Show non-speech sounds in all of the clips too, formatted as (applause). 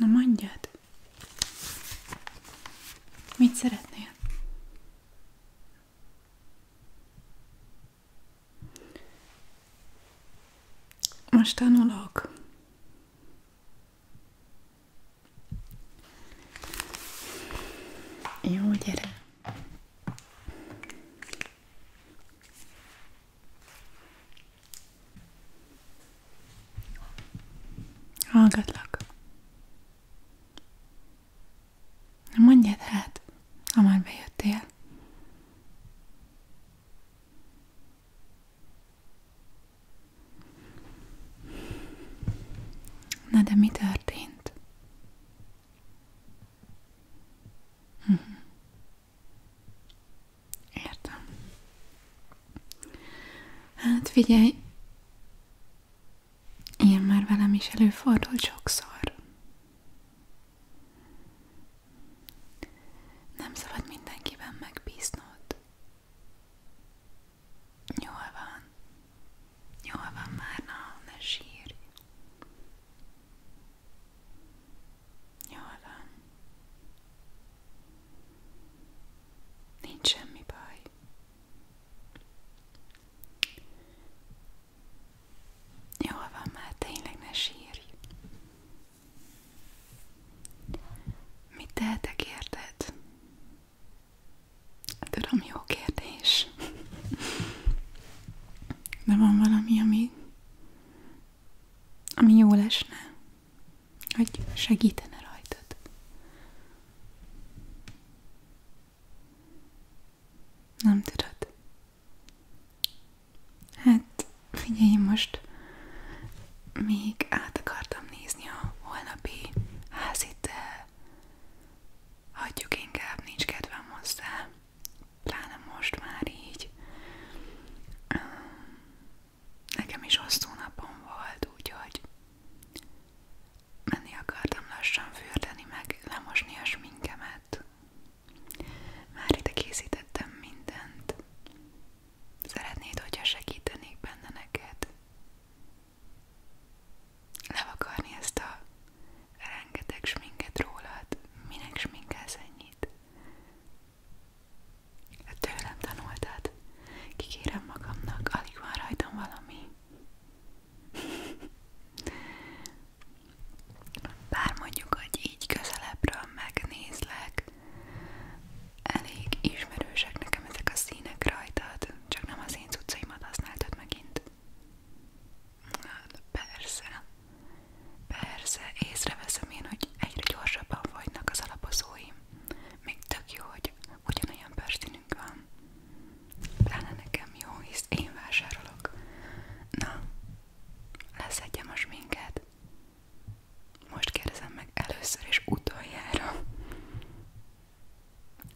Na mondjad! Mit szeretnél? Most tanulok. Jó, gyere! Hallgatlak. Na mondjad hát, ha már bejöttél. Na de mi történt? Hm. Értem. Hát figyelj, ilyen már velem is előfordul sokszor. Nem szabad mindenkiben megbíznod. Jól van. Jól van már, na, ne sírj. Jól van. Nincs semmi baj. Jól van már, tényleg ne sírj. Mit tehetek érted? Tudom, jó kérdés. De van valami, ami, ami jól esne, hogy segítene rajtad. Nem tudod? Hát, figyelj, most még át akartam nézni a holnapi házit Hagyjuk inkább, nincs kedvem hozzá. Pláne most már így. Nekem is hosszú napom volt, úgyhogy menni akartam lassan fürdeni, meg lemosni a sminkemet. Már ide készítettem mindent. Szeretnéd, hogyha segítenék benne neked? levakarni ezt a rengeteg sminket rólad, minek sminkelsz ennyit? Tőlem tanultad, kikérem magamnak, alig van rajtam valami. Bár mondjuk, hogy így közelebbről megnézlek, elég ismerősek nekem ezek a színek rajtad, csak nem az én cuccaimat használtad megint. Hát persze, persze, észreveszem én, hogy egyre gyorsabban fogynak az alapozóim. Még tök jó, hogy ugyanolyan bőrszínünk van. Pláne nekem jó, hisz én vásárolok. Na, leszedje most minket. Most kérdezem meg először és utoljára.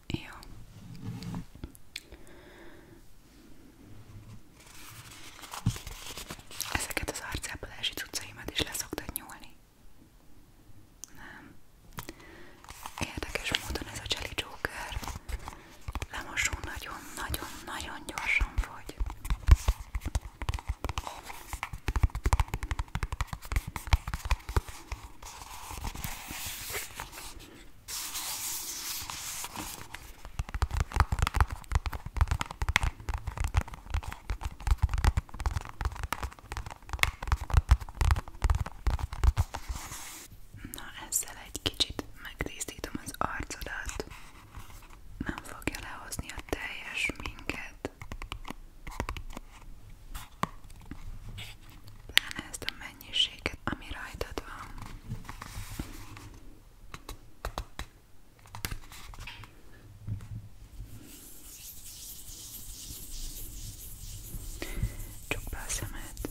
Jó. Ezeket az arcápolási cuccaimat is leszoktad nyúlni? Nem. Érdekes módon ez a Jelly Joker lemosó nagyon-nagyon-nagyon gyorsan fogy. Na ezzel egy kicsit megtisztítom az arcodat, nem fogja lehozni a teljes minket. Pláne ezt a mennyiséget, ami rajtad van. Csukd be a szemed. Oké,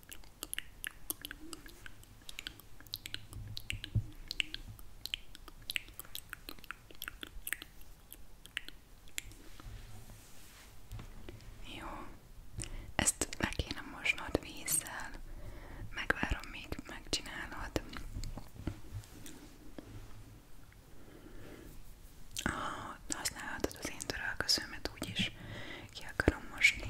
Jó, ezt le kéne mosnod vízzel, megvárom, még megcsinálod. Ah, használhatod az én törölközőmet úgyis, ki akarom mosni.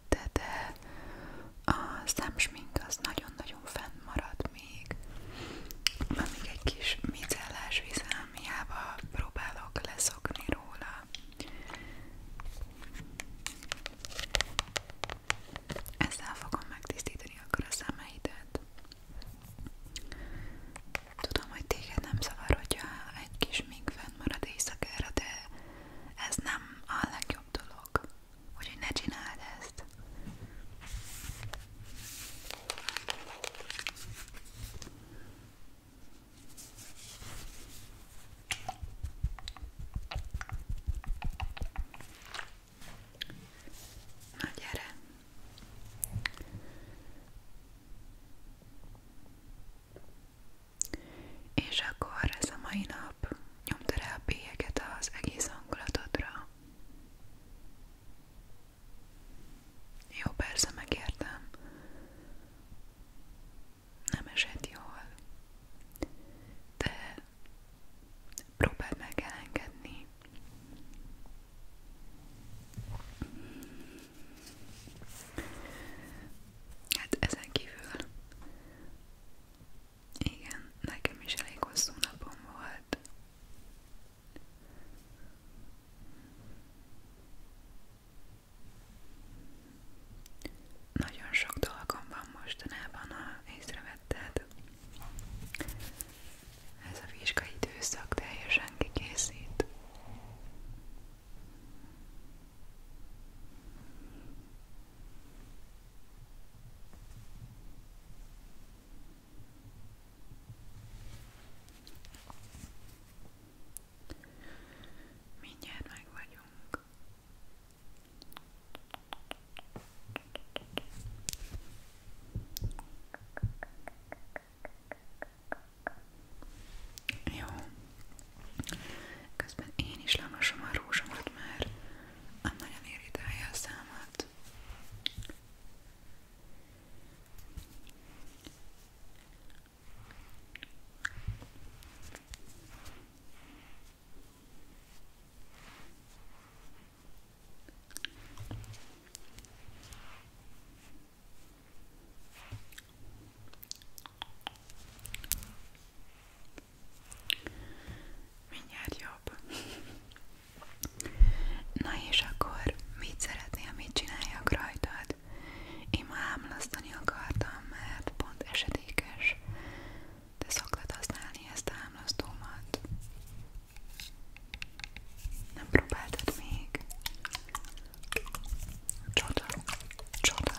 mellette, de a szemsmink az nagyon-nagyon fennmarad még. Amíg egy kis micellás vizelmiába próbálok leszokni róla. Ezzel fogom megtisztítani akkor a szemeidet. Tudom, hogy téged nem zavar, hogyha egy kis mink fennmarad éjszakára, de ez nem a legjobb dolog. Úgyhogy ne csináld ezt. Na gyere! És akkor ez a mai nap nyomta rá a bélyeket az egész hangulatodra. Jó, persze megértem. Nem esett jól. De próbáld meg elengedni. Hát ezen kívül igen, nekem is elég hosszú napom volt. Nagyon sok dolgom van mostanában, ha észrevetted. Ez a vizsgai időszak teljesen kikészít. Mindjárt meg vagyunk. Jó, Közben én is lemosom a rózsomat, mert nagyon irritálja a számat. Mindjárt jobb. Na és akkor mit szeretnél, mit csináljak rajtad? Én ma ámlasztani akartam, mert pont esedékes. Te szoktad használni ezt a ámlasztómat? Nem próbáltad még? Csoda, csoda.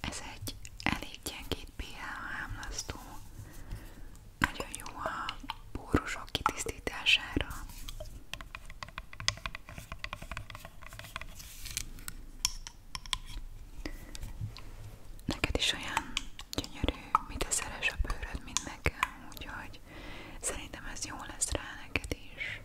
Ez egy elég gyengéd pH ámlasztó, nagyon jó a pórusok kitisztítására. Neked is olyan gyönyörű, mit a bőröd, mint nekem, úgyhogy szerintem ez jó lesz rá neked is.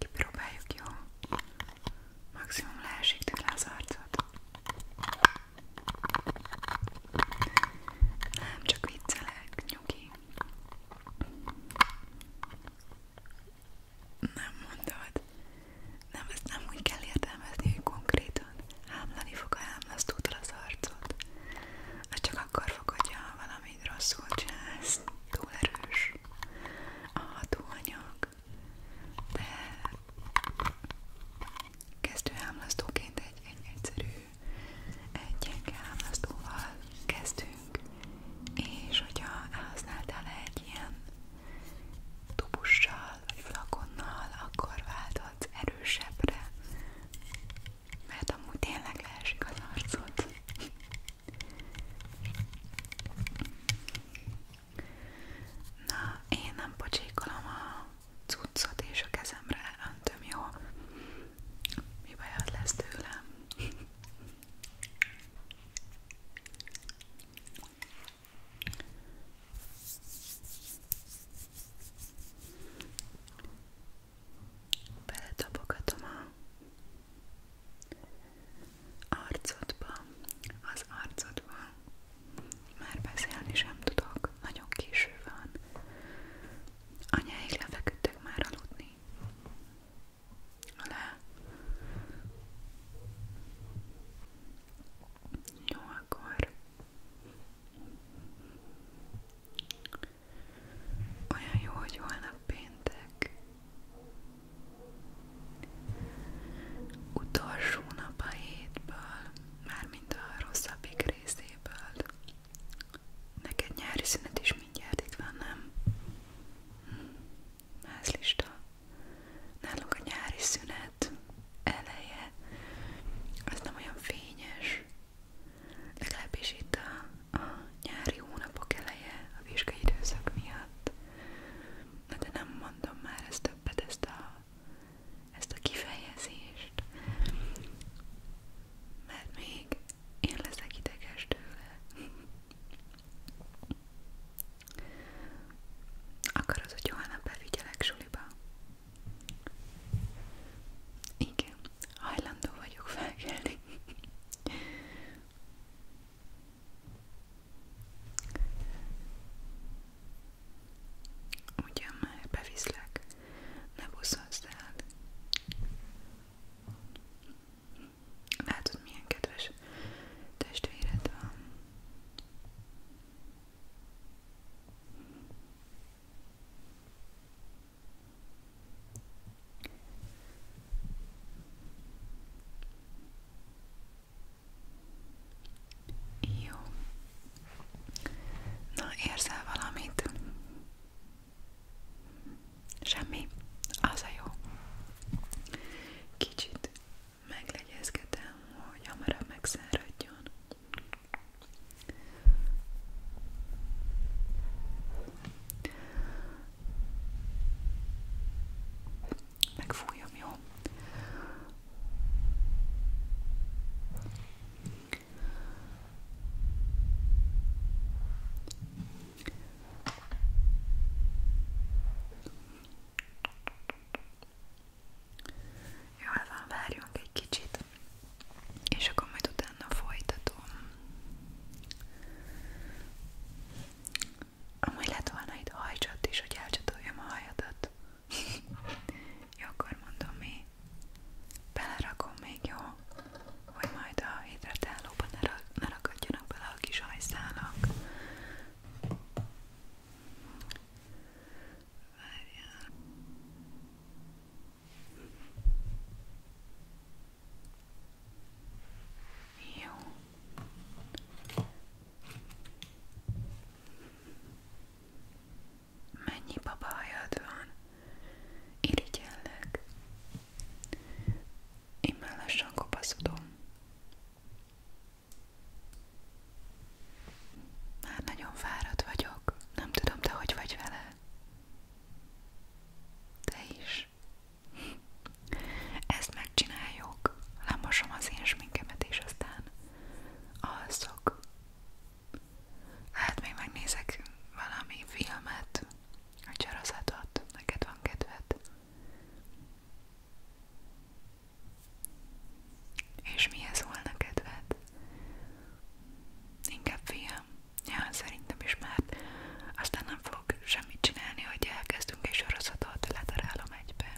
Kipróbáljuk, jó? Maximum leesik tőle az arcot. Nem, csak viccelek, nyugi. Nem mondod. Nem, nem úgy kell értelmezni, hogy konkrétan hámlani fog a hámlasztótól az arcod. Az csak akkor fogod, ha valamit rosszul Túl erős a hatóanyag. De kezdő hámlasztóként egy, egy egyszerű, egy gyenge hámlasztóval kezdünk leszünk, és hogyha elhasználtál egy ilyen tubussal vagy flakonnal, akkor válthatsz erősebbre, mert amúgy tényleg leesik az arcod. Na, én nem pocsékolom a cuccot és a kezemre öntöm, jó? Mi baj az lesz tőlem? Beletapogatom a arcodba, az arcodba. Már beszélni sem tudok, nagyon késő van. Anyáig lefeküdtek már aludni alá. Jó, akkor olyan jó, hogy holnap péntek. Utolsó nap a hétből, mármint a rosszabbik részéből. Neked nyári szünet is mindjárt itt van, nem? házlista. Nálunk a nyári szünet eleje az nem olyan fényes, legalábbis itt a, a nyári hónapok eleje a vizsgai időszak miatt. Na de nem mondom már ezt többet, ezt a, ezt a kifejezést, mert még én leszek ideges tőle. Akarod, hogy holnap bevigyelek suliba? Igen, hajlandó vagyok felkelni. Ugyan már beviszlek, ne buszozz el. Látod, milyen kedves testvéred van. Jó. Na, érzel valamit? Semmi, az a jó. Kicsit meglegyezkedem, hogy hamarabb megszáradjon. Megfújom, jó? Jól hát van, várjunk egy kicsit, és akkor majd utána folytatom. Amúgy lett volna itt hajcsat is, hogy elcsatoljam a hajadat. (laughs) jó, akkor mondom mi. Belerakom még, jó? hogy majd a hidratálóban ne, rak, ne rakadjanak bele a kis hajszálak. Várjál. Jó. Mennyi babahajad van? Irigyellek. Immel lassan kopaszodom. Már nagyon fáradt vagyok. Nem tudom, te hogy vagy vele. Te is. Ezt megcsináljuk. Lemosom az én sminkemet, és aztán alszok. Hát még megnézek valami filmet, a csarazatot, neked van kedved. És mihez volna kedved? Inkább fiam. Ja, szerintem is már. Aztán nem fogok semmit csinálni, hogy elkezdünk egy sorozatot, letarálom egybe.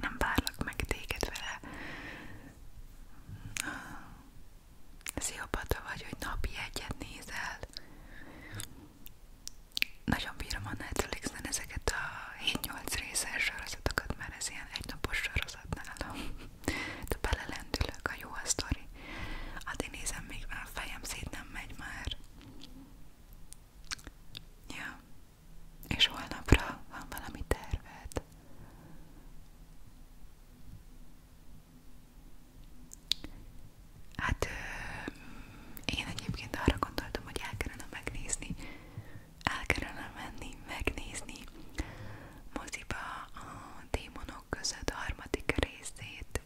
Nem várlak meg téged vele sziopata vagy, hogy napi egyet nézel. Nagyon bírom a Netflixen ezeket a 7-8 részes sorozatokat, mert ez ilyen egynapos sorozat nálam. (laughs) De belelendülök, a jó a sztori. Hát én nézem, még már a fejem szét nem megy már. Ja. És holnapra van valami terved? Hát én egyébként arra gondoltam, hogy el kellene megnézni, el kellene menni, megnézni moziba a démonok között a harmadik részét.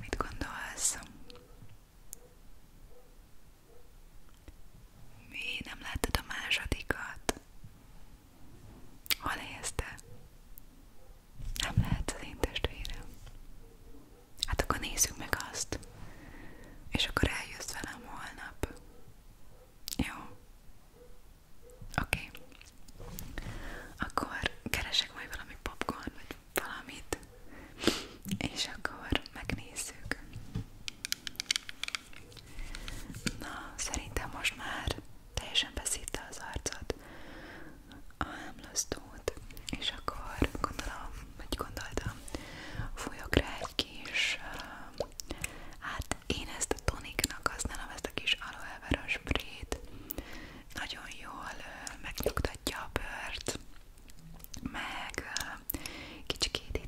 Mit gondolsz? Mi nem láttad a másodikat? Hol helyezte? Nem lehet az én testvérem. Hát akkor nézzük meg azt. És akkor eljössz velem holnap. Jó? Oké. Okay. Akkor keresek majd valami popcorn, vagy valamit. És akkor megnézzük. Na, szerintem most már teljesen veszítte az arcot, a hámlasztót, és akkor gondolom, vagy gondoltam, fújok rá hát én ezt toniknak használom, ezt a kis aloe vera nagyon jól uh, megnyugtatja meg uh, kicsikét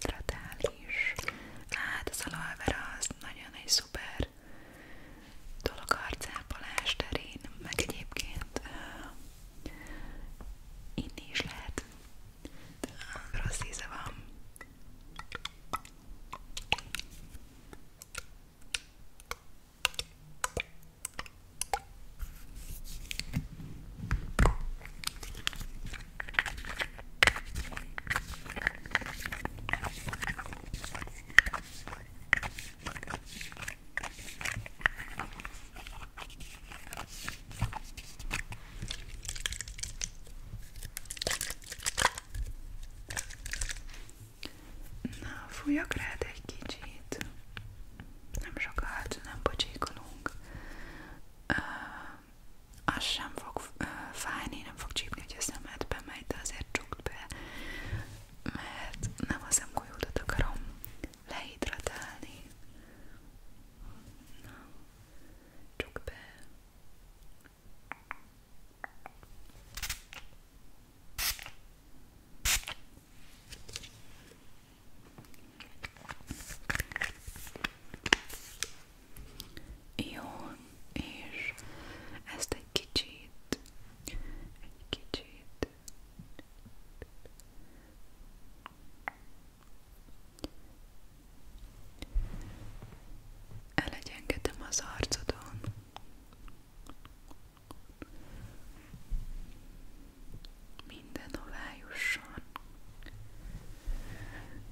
is, hát az aloe nagyon egy szuper dolog arcápolás terén, meg egyébként uh, inni is lehet, de rossz íze van. Na, fújjak rád egy kicsit. Nem sokat, nem pocsékolunk. Uh, az sem fog uh, fájni, nem fog csípni, hogy a szemedbe megy, de azért csukd be mert nem az emgolyódat akarom lehidratálni. Na, csukd be. Jó, és ezt egy kicsit, egy kicsit elegyengedem az arcodon. Minden hová jusson.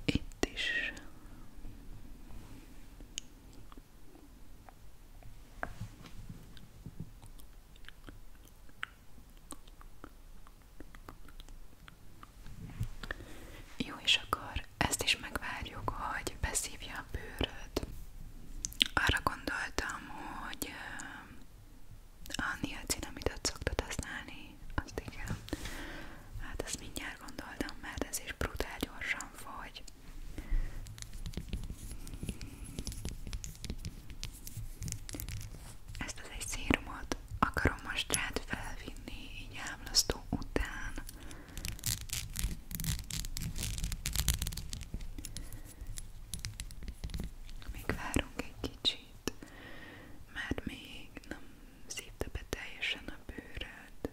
Itt is. Jó, és akkor ezt is megvárjuk, hogy beszívja a bőröd. Arra gondoltam, hogy a niacinamidot szoktad használni, azt igen. Hát ezt mindjárt gondoltam, mert ez is brutál gyorsan fogy. Ezt az egy szérumot akarom most rád felvinni, így ámlasztó után. Még várunk egy kicsit, mert még nem szívta be teljesen a bőröd.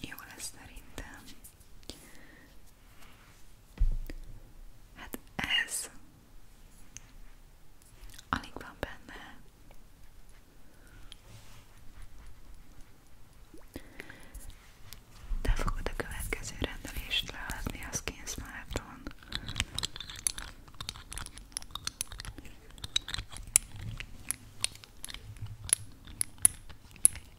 jó lesz szerintem. Hát ez alig van benne. Te fogod a következő rendelést leadni a Skinsmart-on.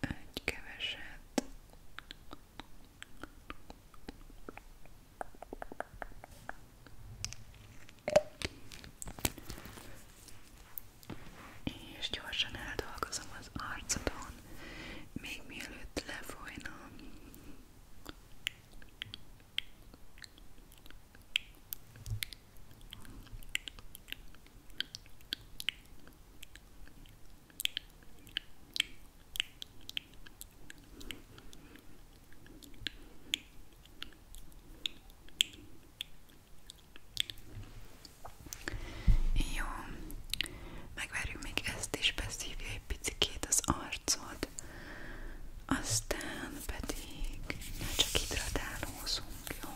meg egy keveset. És gyorsan eldolgozom az arcodon, még mielőtt lefolyna. Jó, megvárjuk még ezt is, beszívja egy picikét az arcod, aztán pedig csak hidratálózunk, jó?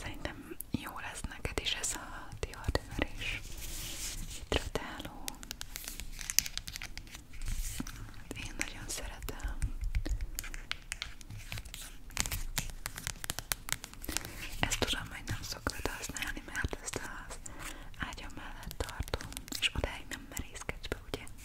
Szerintem jó lesz neked is ez a diadőr is. Hidratáló. Én nagyon szeretem. Ezt tudom, hogy nem szoktad használni, mert ezt az ágyam mellett tartom, és odáig nem merészkedsz be, ugye?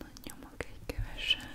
Na, nyomok egy keveset.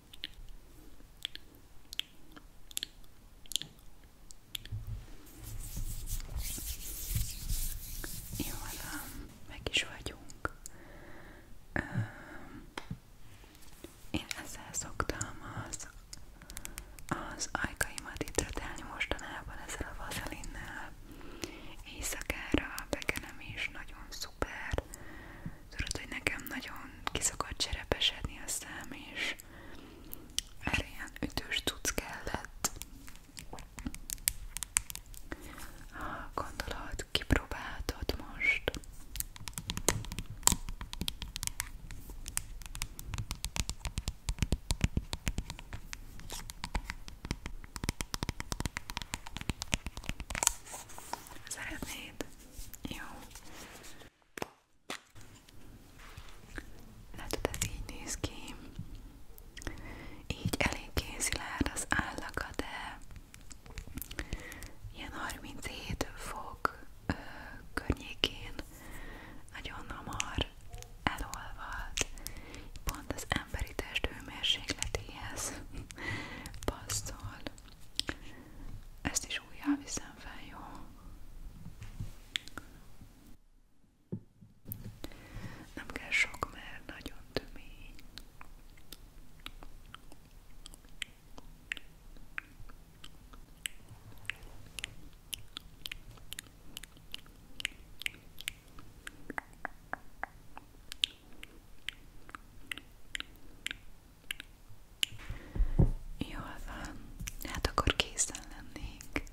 Jó, hát, meg is vagyunk. Én ezzel szoktam az, az ajkaimat hidratálni mostanában ezzel a vazelinnel. Éjszakára bekenem is, nagyon szuper. Tudod, hogy nekem nagyon kiszokott cserepesedni a szám, és erre ilyen ütős tudsz kellett. Ha gondolod, kipróbálhatod most. Szeretnéd? Jó. Látod, ez így néz ki. Így elég kézilárd az állaga, de ilyen 37 fok ö, környékén nagyon hamar elolvad. Pont az emberi test hőmérsékletéhez passzol. Ezt is újjá viszem fel, jó? Nem kell sok, mert nagyon tömény. Jól van, hát akkor készen lennék.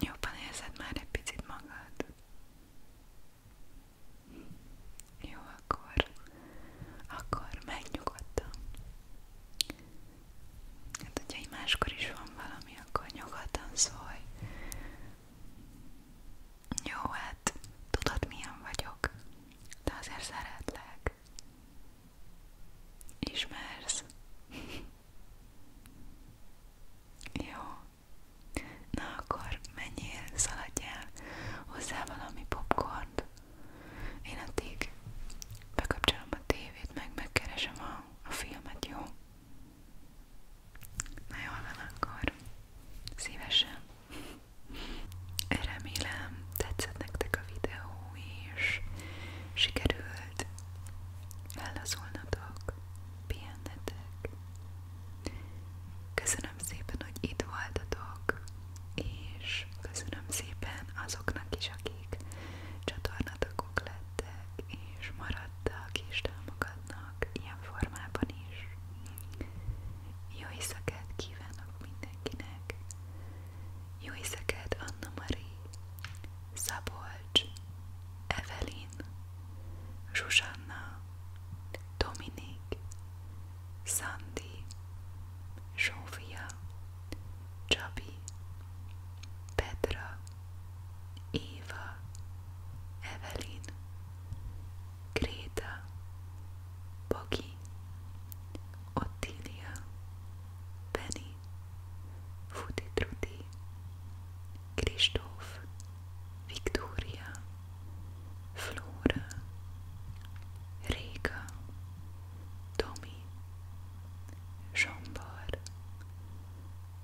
Jobban érzed már egy picit magad? Jó, akkor, akkor megnyugodtam. Hát, hogyha így máskor is van valami, akkor nyugodtan szólj. Jó, hát tudod milyen vagyok de azért szeretlek. Ismersz? (laughs) Jó. Na akkor menjél, szaladjál hozzá valami popcornt. Én addig bekapcsolom a tévét, meg megkeresem a, a filmet, jó? Na jól van akkor. Szívesen. Remélem tetszett nektek a videó, és sikerült ellazulnatok, pihennetek. Köszönöm szépen, hogy itt voltatok, és köszönöm szépen azoknak is, akik csatornatokok lettek, és maradtak és támogatnak ilyen formában is. Jó éjszakát kívánok mindenkinek! Jó éjszakát Anna Marie, Szabolcs, Evelyn, Zsuzsanna, Dominik, Szandi, Zsófia, Csabi, Petra, Éva, Evelyn, Greta, Boggy, Ottilia, Benny, Footy Trudy, Victoria, Flora, Rika, Tommy, Jombar,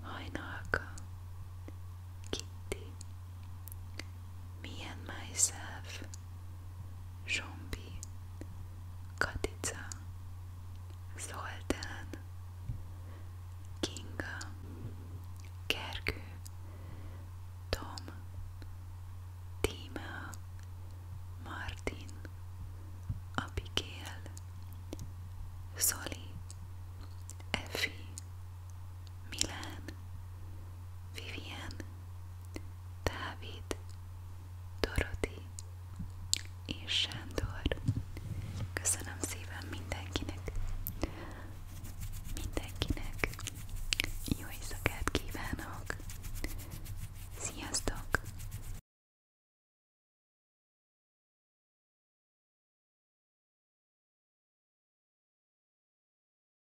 Hainaka, Kitty, me and myself, Zsombi, Katica, Zoltán, Kinga, Gergő, Tom, Tíma, Martin, Abigail, Zoli, Effi, Milán, Vivian, Dávid, Doroti és Sándor. Köszönöm szépen mindenkinek, mindenkinek jó éjszakát kívánok. Sziasztok!